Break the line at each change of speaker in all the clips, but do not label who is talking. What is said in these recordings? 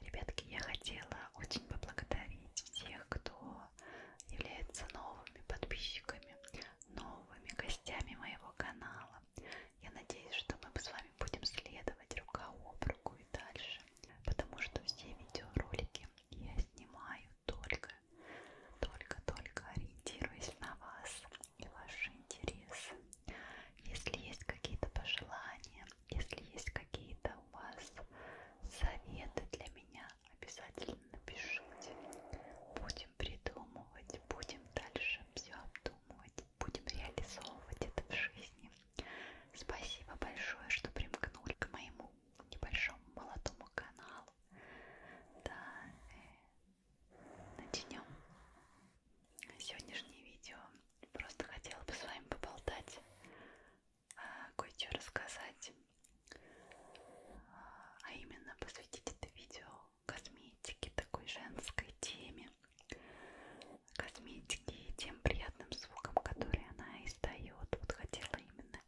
Ребятки, я хотела очень поблагодарить всех, кто является новыми подписчиками, новыми гостями моего канала. Я надеюсь, что мы с вами будем следовать рука об руку и дальше, потому что все видеоролики я снимаю только, только, только ориентируясь на вас и ваши интересы. Если есть какие-то пожелания, если есть какие-то у вас советы для меня, обязательно напишите. Будем придумывать, будем дальше все обдумывать, будем реализовывать это в жизни. Спасибо большое, что примкнули к моему небольшому молодому каналу. Да, э, начнем сегодняшнее видео Просто хотела бы с вами поболтать, а, кое-что рассказать, а, а именно посвятить это видео косметике, такой женской теме, косметике и тем приятным звуком, который она издает. Вот хотела именно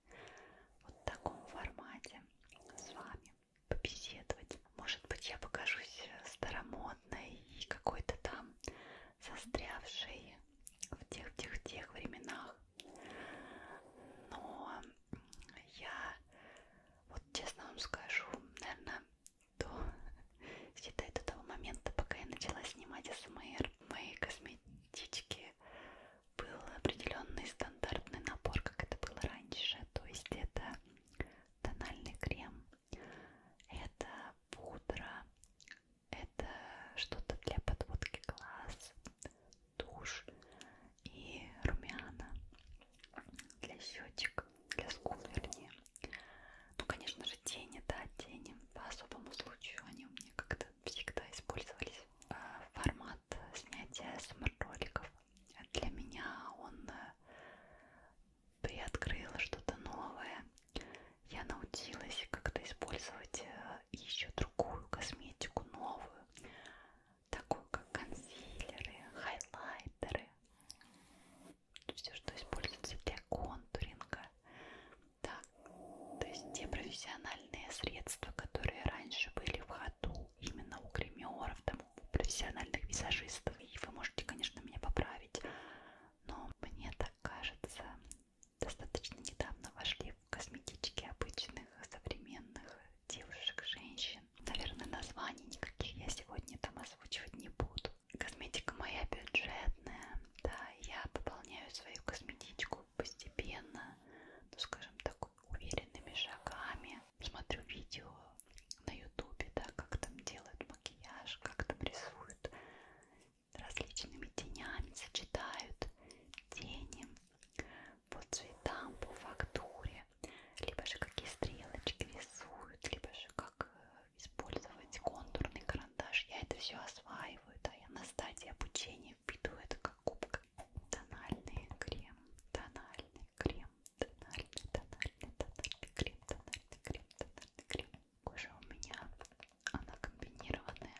вот в таком формате с вами побеседовать, может быть, я покажусь старомодной и какой-то там застрявшей в тех-тех тех временах. Но я, вот честно вам скажу, наверное, до, считай, до того момента, пока я начала снимать СМР, в моей косметичке был определенный стандартный набор, как это было раньше. То есть это тональный крем, это пудра, это что-то для подводки глаз, тушь и румяна для щечек, для скул вернее. Ну, конечно же, тени, да, тени. По особому случаю они у меня как-то всегда использовались. А, формат снятия смр-роликов для меня он э, ты открыла что-то новое. Я научилась как-то использовать э, еще другую косметику, новую, такую как консилеры, хайлайтеры, все, что используется для контуринга. Да. То есть те профессиональные средства, которые раньше были в ходу именно у гримеров, там, профессиональных визажистов, и вы можете, конечно, меня поправить, но мне так кажется, достаточно недавно вошли в косметички обычных, современных девушек, женщин. Наверное, названий никаких я сегодня там озвучивать не буду. Косметика моя бюджетная, да, я пополняю свою косметичку постепенно, ну, скажем так, уверенными шагами. Смотрю видео на ютубе, да, как там делают макияж, как там рисуют различными тенями, сочетают тени по цветам, по фактуре, либо же какие стрелочки рисуют, либо же как э, использовать контурный карандаш. Я это все осваиваю, да, я на стадии обучения впитываю это как губка. Тональный крем, тональный крем крем, тональный, тональный, тональный крем, тональный крем, тональный крем. Кожа у меня, она комбинированная.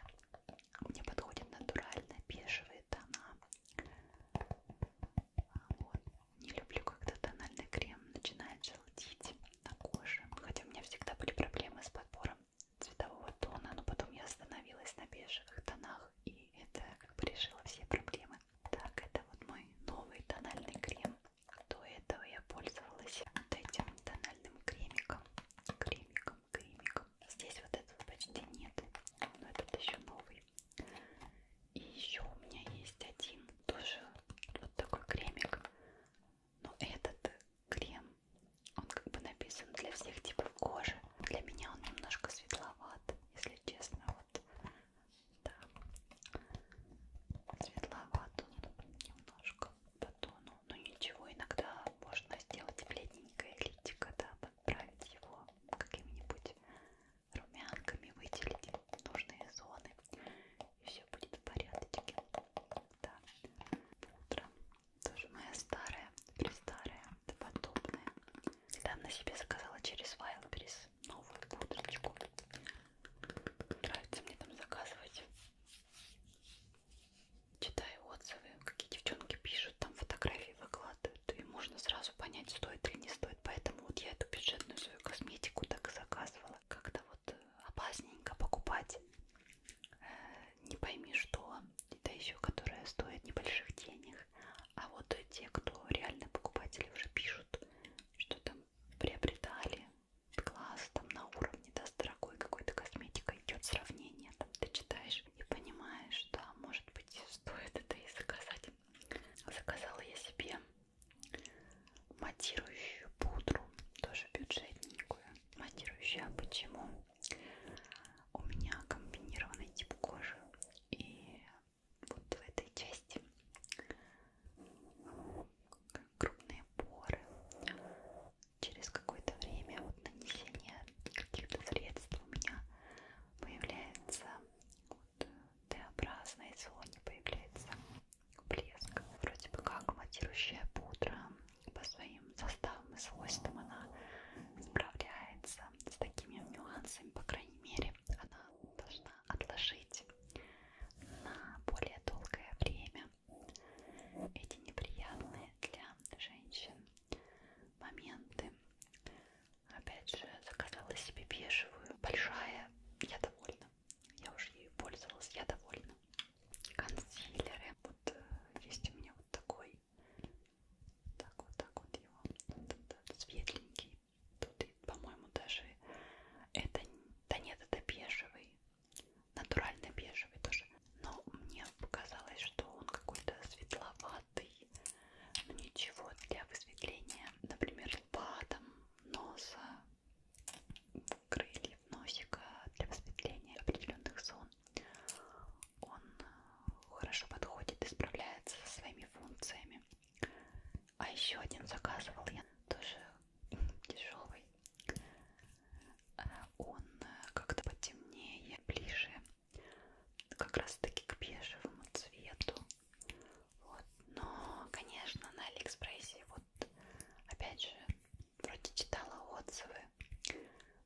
Мне подходит натурально бежевые тона. Вот. Не люблю, когда тональный крем начинает желтить на коже. Хотя у меня всегда были проблемы с подбором цветового тона, но потом я остановилась на бежевых тонах, и это как бы решило все проблемы крема. Так, это вот мой новый тональный крем. До этого я пользовалась вот этим тональным кремиком. Кремиком, кремиком. Здесь вот этого почти нет, но этот еще новый. И еще у меня есть один, тоже вот такой кремик. Но этот крем, он как бы написан для всех типов кожи. Для меня он немножко светловат, если честно. Вот да. Светловат он немножко по тону. Но ничего, иногда можно сделать бледненькое личико, да, подправить его какими-нибудь румянками, выделить нужные зоны. И все будет в порядке. Да. Пудра. Тоже моя старая, престарая подобное. Недавно себе заказала через Wildberries новую пудрочку. Нравится мне там заказывать. Читаю отзывы, какие девчонки пишут, там фотографии выкладывают. И можно сразу понять, стоит или не стоит. Поэтому вот я эту бюджетную свою косметику так и заказывала. Как-то вот э, опасненько покупать. Э, не пойми что. Это еще которая стоит небольших денег. А вот те, кто реально покупатели уже пишут, что там приобретали класс, там на уровне, да, с дорогой какой-то косметикой идет сравнение, там ты читаешь и понимаешь, да, может быть, стоит это и заказать. Заказала я себе матирующую пудру, тоже бюджетненькую. Матирующая почему? У меня комбинированный тип кожи, и вот в этой части крупные поры. Через какое-то время вот нанесение каких-то средств у меня появляется вот э, Т-образная зоне появляется блеск. Вроде бы как матирующая пудра по своим составам и свойствам она справляется с такими нюансами, по крайней мере, она должна отложить на более долгое время эти неприятные для женщин моменты. Опять же, заказала себе бежевую, большая, я довольна. Я уже ею пользовалась, я довольна. Консилеры. Вот э, есть у меня вот такой так вот, так вот его. Тут светленький. Тут, по-моему, даже это... Да нет, это бежевый. Натурально бежевый тоже. Но мне показалось, что он какой-то светловатый. Но ничего для высветления, например, лба, там, носа, крыльев, носика, для высветления определенных зон. Он э, хорошо подходит и справляется со своими функциями. А еще один заказывал я тоже дешевый. Э, он э, как-то потемнее, ближе как раз таки к бежевому цвету. Вот. Но, конечно, на Алиэкспрессе, вот опять же, вроде читала отзывы,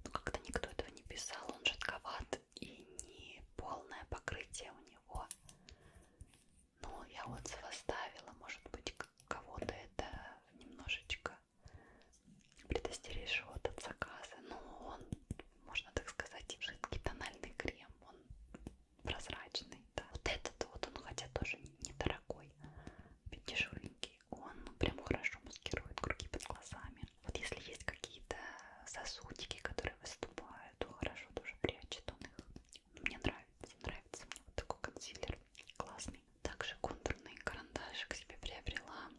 но как-то никто этого не писал, он жидковат и не полное покрытие у него. Но ну, я отзыв оставила, может быть, кого-то это немножечко предостережет от заказа. Но ну, он, можно так сказать, жидкий тональный крем, он прозрачный. Да. Вот этот вот, он хотя тоже недорогой, дешевенький, он прям хорошо маскирует круги под глазами. Вот если есть какие-то сосудики, которые выступают, то хорошо тоже прячет он их. Ну, мне нравится, нравится мне вот такой консилер, классный. Также контурный карандашик себе приобрела,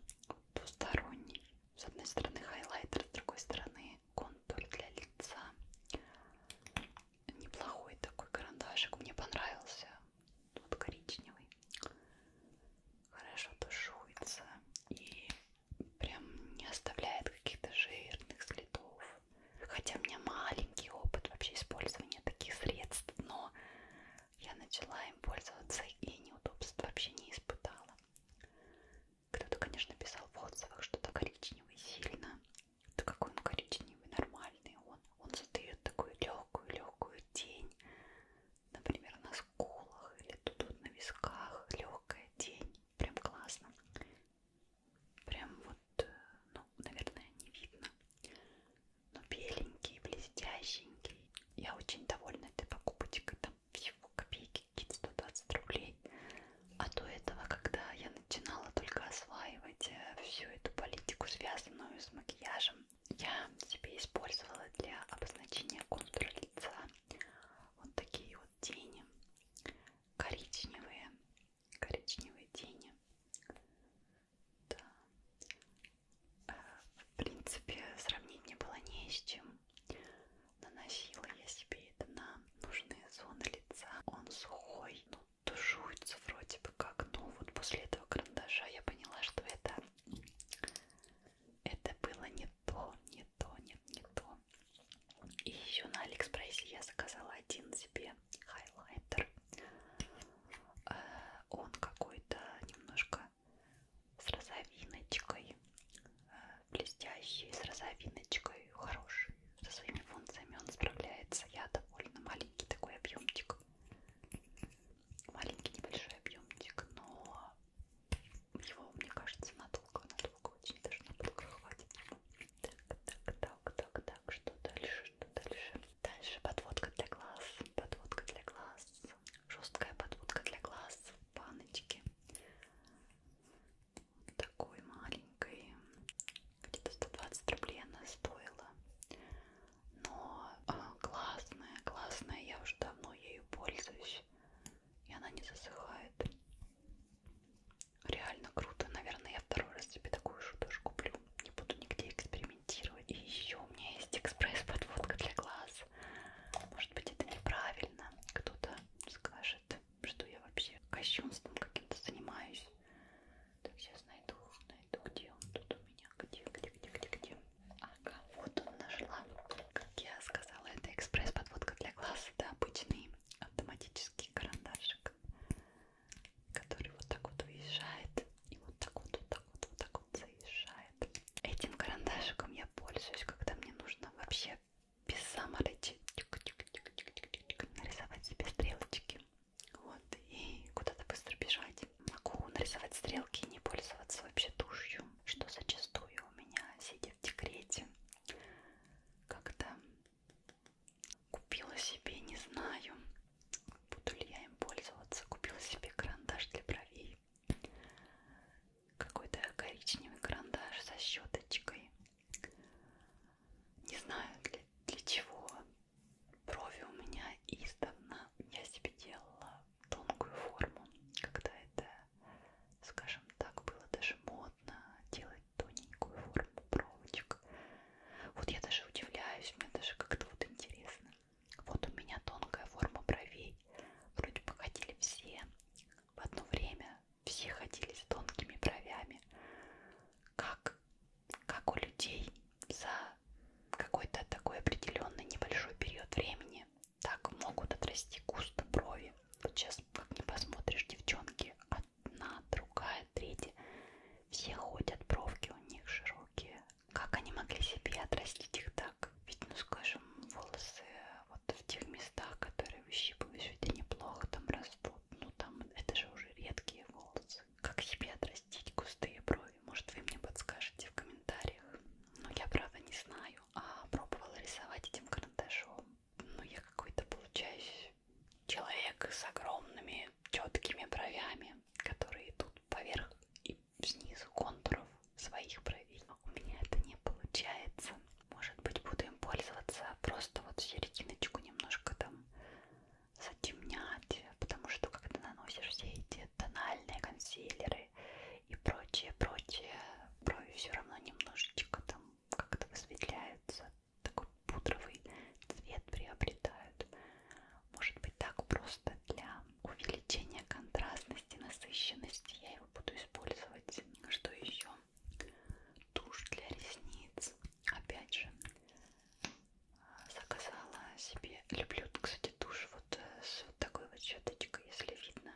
двусторонний. С одной стороны хайлайтер, с другой стороны контур для лица. Неплохой такой карандашик, мне понравился. Вот коричневый хорошо тушуется и прям не оставляет каких-то жирных следов. Хотя у меня маленький опыт вообще использования таких средств, но я начала им пользоваться и неудобств вообще не испытала. Кто-то, конечно, писал в отзывах, что-то коричневый сильно. Да какой он коричневый, нормальный он. Он задает такую легкую-легкую тень например, на скулах или тут вот на висках, легкая тень, прям классно, прям вот, э, ну, наверное, не видно, но беленький, блестященький. Я очень довольна этой покупочкой, там всего копейки, какие-то 120 рублей. А до этого, когда я начинала только осваивать э, всю эту политику, связанную с макияжем, я себе использовала для обозначения контура лица вот такие вот тени, коричневые, коричневые тени. Да. Э, в принципе, сравнить не было не с чем. Наносила я себе это на нужные зоны лица. Он сухой, ну, тушуется вроде бы как, но вот после этого карандаша я поняла, что это это было не то, не то, нет, не то. И еще на Алиэкспрессе я заказала один себе хайлайтер. Э, он какой-то немножко с розовиночкой, э, блестящий, с розовиночкой, хороший. Со своими функциями он справляется. Я довольно маленький такой объемчик маленький небольшой объемчик, но его, мне кажется, надолго, надолго, очень даже надолго хватит. Так, так, так, так, так, что дальше, что дальше? Дальше подводка для глаз, подводка для глаз, жесткая подводка для глаз в баночке. Вот такой маленькой, где-то 120 рублей она стоила но а, классная, классная, я уже давно ею пользуюсь, и она не засыхает. Реально круто, наверное, я второй раз себе такую же тоже куплю, не буду нигде экспериментировать. И еще у меня есть экспресс-подводка для глаз, может быть это неправильно, кто-то скажет, что я вообще кощунством каким-то занимаюсь. Так, сейчас найду, найду, где он тут у меня, где, где, где, где, где. Ага, вот он нашла. Как я сказала, это экспресс-подводка для глаз. Это обычный автоматический карандашик, который вот так вот выезжает и вот так вот, вот так вот, вот так вот заезжает. Этим карандашиком я пользуюсь, когда мне нужно вообще без саморечи нарисовать себе стрелочки. Вот, и куда-то быстро бежать. Могу нарисовать стрелки и не пользоваться вообще тушью, что зачастую у меня, сидя в декрете, как-то купила себе, не знаю, буду ли я им пользоваться, купила себе карандаш для бровей. Какой-то коричневый карандаш со щеточкой. Не знаю для, для чего, брови у меня издавна я себе делала тонкую форму, когда это, скажем так, было даже модно делать тоненькую форму бровочек. Вот я даже удивляюсь, мне даже как-то вот интересно. Вот у меня тонкая форма бровей. Вроде бы ходили все в одно время, все ходили с тонкими бровями. Как как у людей за какой-то такой определенный небольшой период времени, так могут отрасти густо брови. Вот сейчас, как не посмотришь, девчонки, одна, другая, третья, все ходят, бровки у них широкие. Как они могли себе отрастить их так? Ведь, ну скажем, волосы вот в тех местах, которые выщипываешь, ведь они плохо там растут. Ну там, это же уже редкие волосы вопрос, как себе отрастить густые брови? Может вы мне подскажете в комментариях? Но ну, я правда не знаю, а пробовала рисовать этим карандашом. Но ну, я какой-то получаюсь человек с огромными четкими бровями, которые идут поверх и снизу контуров своих бровей. Но а у меня это не получается. Может быть буду им пользоваться просто вот серединочку немножко там затемнять, потому что когда наносишь все эти тональные консилеры и прочее, прочее, брови все равно немножечко там как-то высветляются, такой пудровый цвет приобретают. Может быть так просто для увеличения контрастности, насыщенности я его буду использовать. Что еще? Тушь для ресниц. Опять же, заказала себе. Люблю, кстати, тушь вот э, с вот такой вот щеточкой, если видно.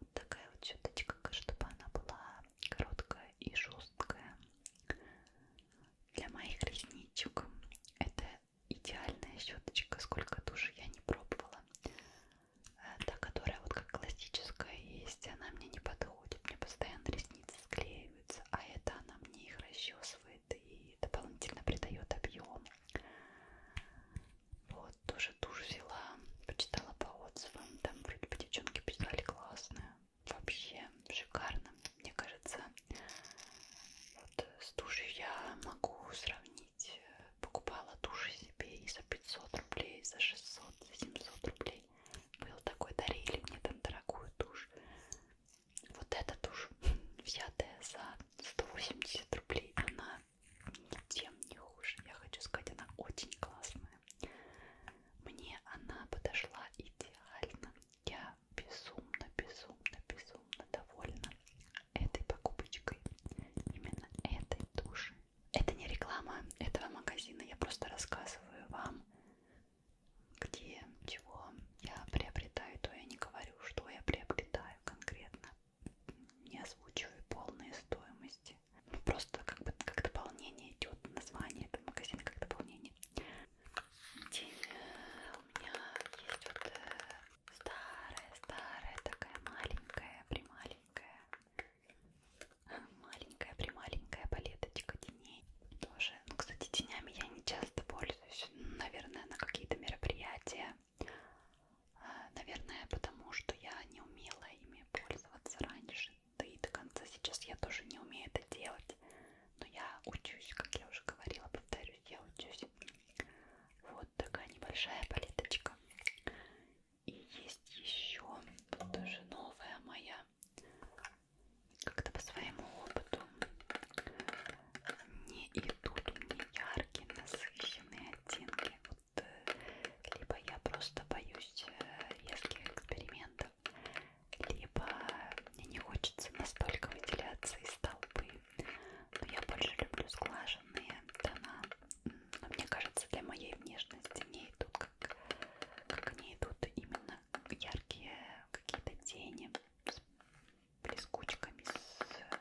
Вот такая вот щеточка, чтобы она была короткая и жесткая. Для моих ресничек это идеальная щеточка, сколько туши я не пробовала. Э, та, которая вот как классическая есть, она мне не подходит. Мне постоянно ресницы склеивает расклеиваются, а это она мне их расчесывает и дополнительно придает объем. Вот, тоже тушь взяла, почитала по отзывам, там вроде бы девчонки писали классные, вообще шикарно, мне кажется. Вот с тушью я могу сравнить, э, покупала туши себе и за 500 рублей, и за 600, за 700 рублей. Ой, был такой, дарили мне там дорогую тушь. Вот эта тушь, взятая за 180 рублей, она тем не хуже. Я хочу сказать, она очень классная. Мне она подошла идеально. Я безумно, безумно, безумно довольна этой покупочкой. Именно этой туши. Это не реклама этого магазина. Я просто рассказываю вам где, чего я приобретаю, то я не говорю, что я приобретаю конкретно. Не озвучиваю полные стоимости. Просто как бы как дополнение идет название этого магазина, как дополнение. Теперь у меня есть вот э, старая, старая такая маленькая, прималенькая маленькая прималенькая палеточка теней тоже ну, кстати тенями я не часто пользуюсь наверное на какие-то мероприятия а, наверное потому что я не умела ими пользоваться раньше да и до конца сейчас я тоже не умею это делать но я учусь как я уже говорила повторюсь я учусь вот такая небольшая палеточка и есть еще тоже новая моя как-то по своему опыту не идут мне яркие, насыщенные оттенки. Вот, э, либо я просто боюсь э, резких экспериментов, либо мне не хочется настолько выделяться из толпы. Но я больше люблю сглаженные тона. Но мне кажется, для моей внешности не идут как, как они идут именно яркие какие-то тени с блескучками, с э,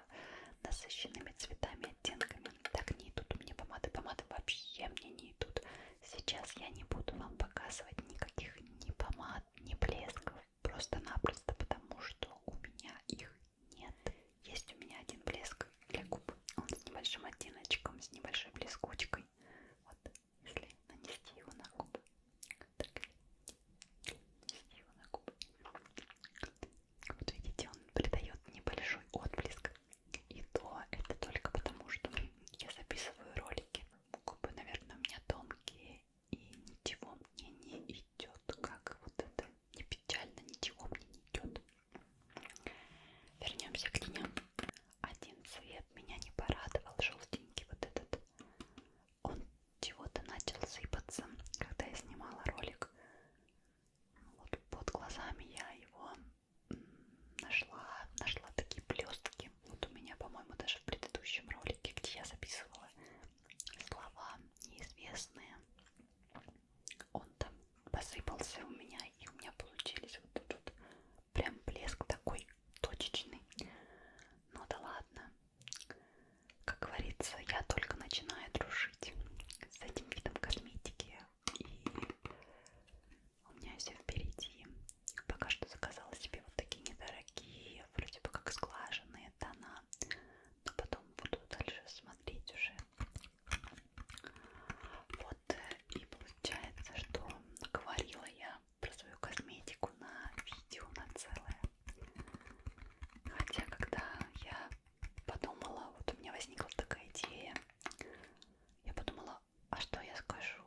насыщенными цветами, оттенками. Так не идут у меня помады. Помады вообще мне не идут. Сейчас я не буду вам показывать никаких ни помад, ни блесков. Просто-напросто потому, что у меня их нет. Есть у меня один блеск для губ. Он с небольшим оттеночком, с небольшой блескучкой губкой. Вот, если нанести его на губы, так, нанести его на губы. Вот видите, он придает небольшой отблеск. И то это только потому, что я записываю ролики. Губы, наверное, у меня тонкие, и ничего мне не идет. Как вот это не печально, ничего мне не идет. Вернемся к теням. Один цвет меня не порадовал, желтенький вот этот. Он чего-то начал сыпаться, когда я снимала ролик. Вот под глазами я его нашла, нашла такие блестки. Вот у меня, по-моему, даже в предыдущем ролике, где я записывала слова неизвестные, он там посыпался у меня, и у меня получились вот тут вот прям блеск такой точечный. Ну да ладно. Как говорится, я только начинаю дружить с этим видом косметики. И у меня все впереди. Пока что заказала себе вот такие недорогие, вроде бы как сглаженные тона. Но потом буду дальше смотреть уже, вот э, и получается, что говорила я про свою косметику на видео на целое. Хотя, когда я подумала, вот у меня возникла такая идея, я подумала, а что я скажу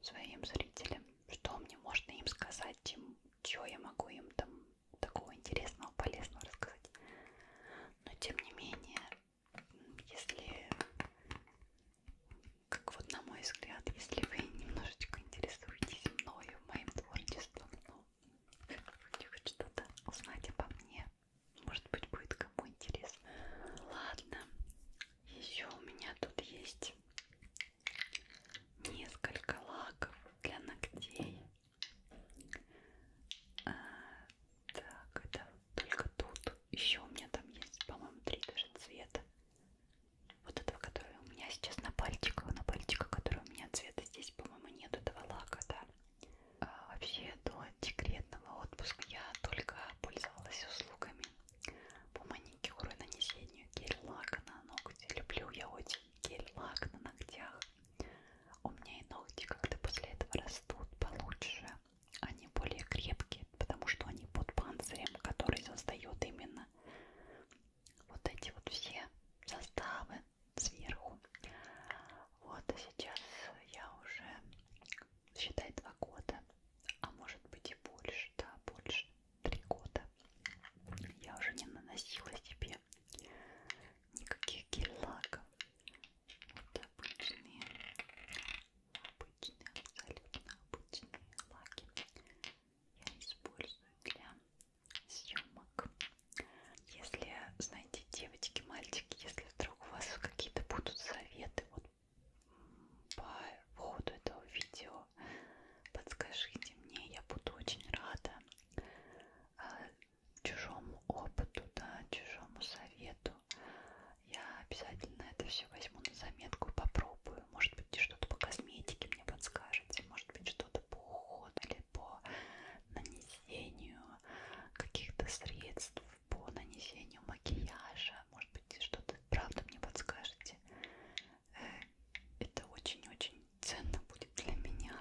своим зрителям, что мне можно им сказать, чем, чего я могу им там такого интересного, полезного рассказать. Но тем не менее, если, как вот на мой взгляд, если вы немножечко интересуетесь мною, моим творчеством, ну, хотите хоть что-то узнать обо мне, может быть, будет кому интересно. Ладно, еще у меня тут есть несколько лаков для ногтей. А, так, это только тут. Еще у меня там есть, по-моему, три даже цвета. Вот этого, который у меня сейчас на пальчиках, на пальчиках, который у меня цвета здесь, по-моему, нет этого лака, да. А вообще до декретного отпуска я только пользовалась услугами по маникюру и нанесению гель-лака на ногти. Люблю я очень гель-лак на ногтях. У меня и ногти как-то после этого растут получше. Они более крепкие, потому что они под панцирем, который создает именно вот эти вот все составы сверху. Вот, и а сейчас я уже, считай, два года, а может быть и больше, да, больше, три года. Я уже не наносила себе вообще никаких гель-лаков. Вот обычные, обычные, абсолютно обычные лаки я использую для съемок. Если, знаете, девочки, мальчики, если вдруг у вас какие-то будут советы вот, по поводу этого видео, подскажите мне, я буду очень рада а, чужому опыту, да, чужому совету. Я обязательно это все возьму на заметку и попробую. Может быть, что-то по косметике мне подскажете, может быть, что-то по уходу или по нанесению каких-то средств, по нанесению макияжа. Может быть, что-то правда мне подскажете. Э, это очень-очень ценно будет для меня.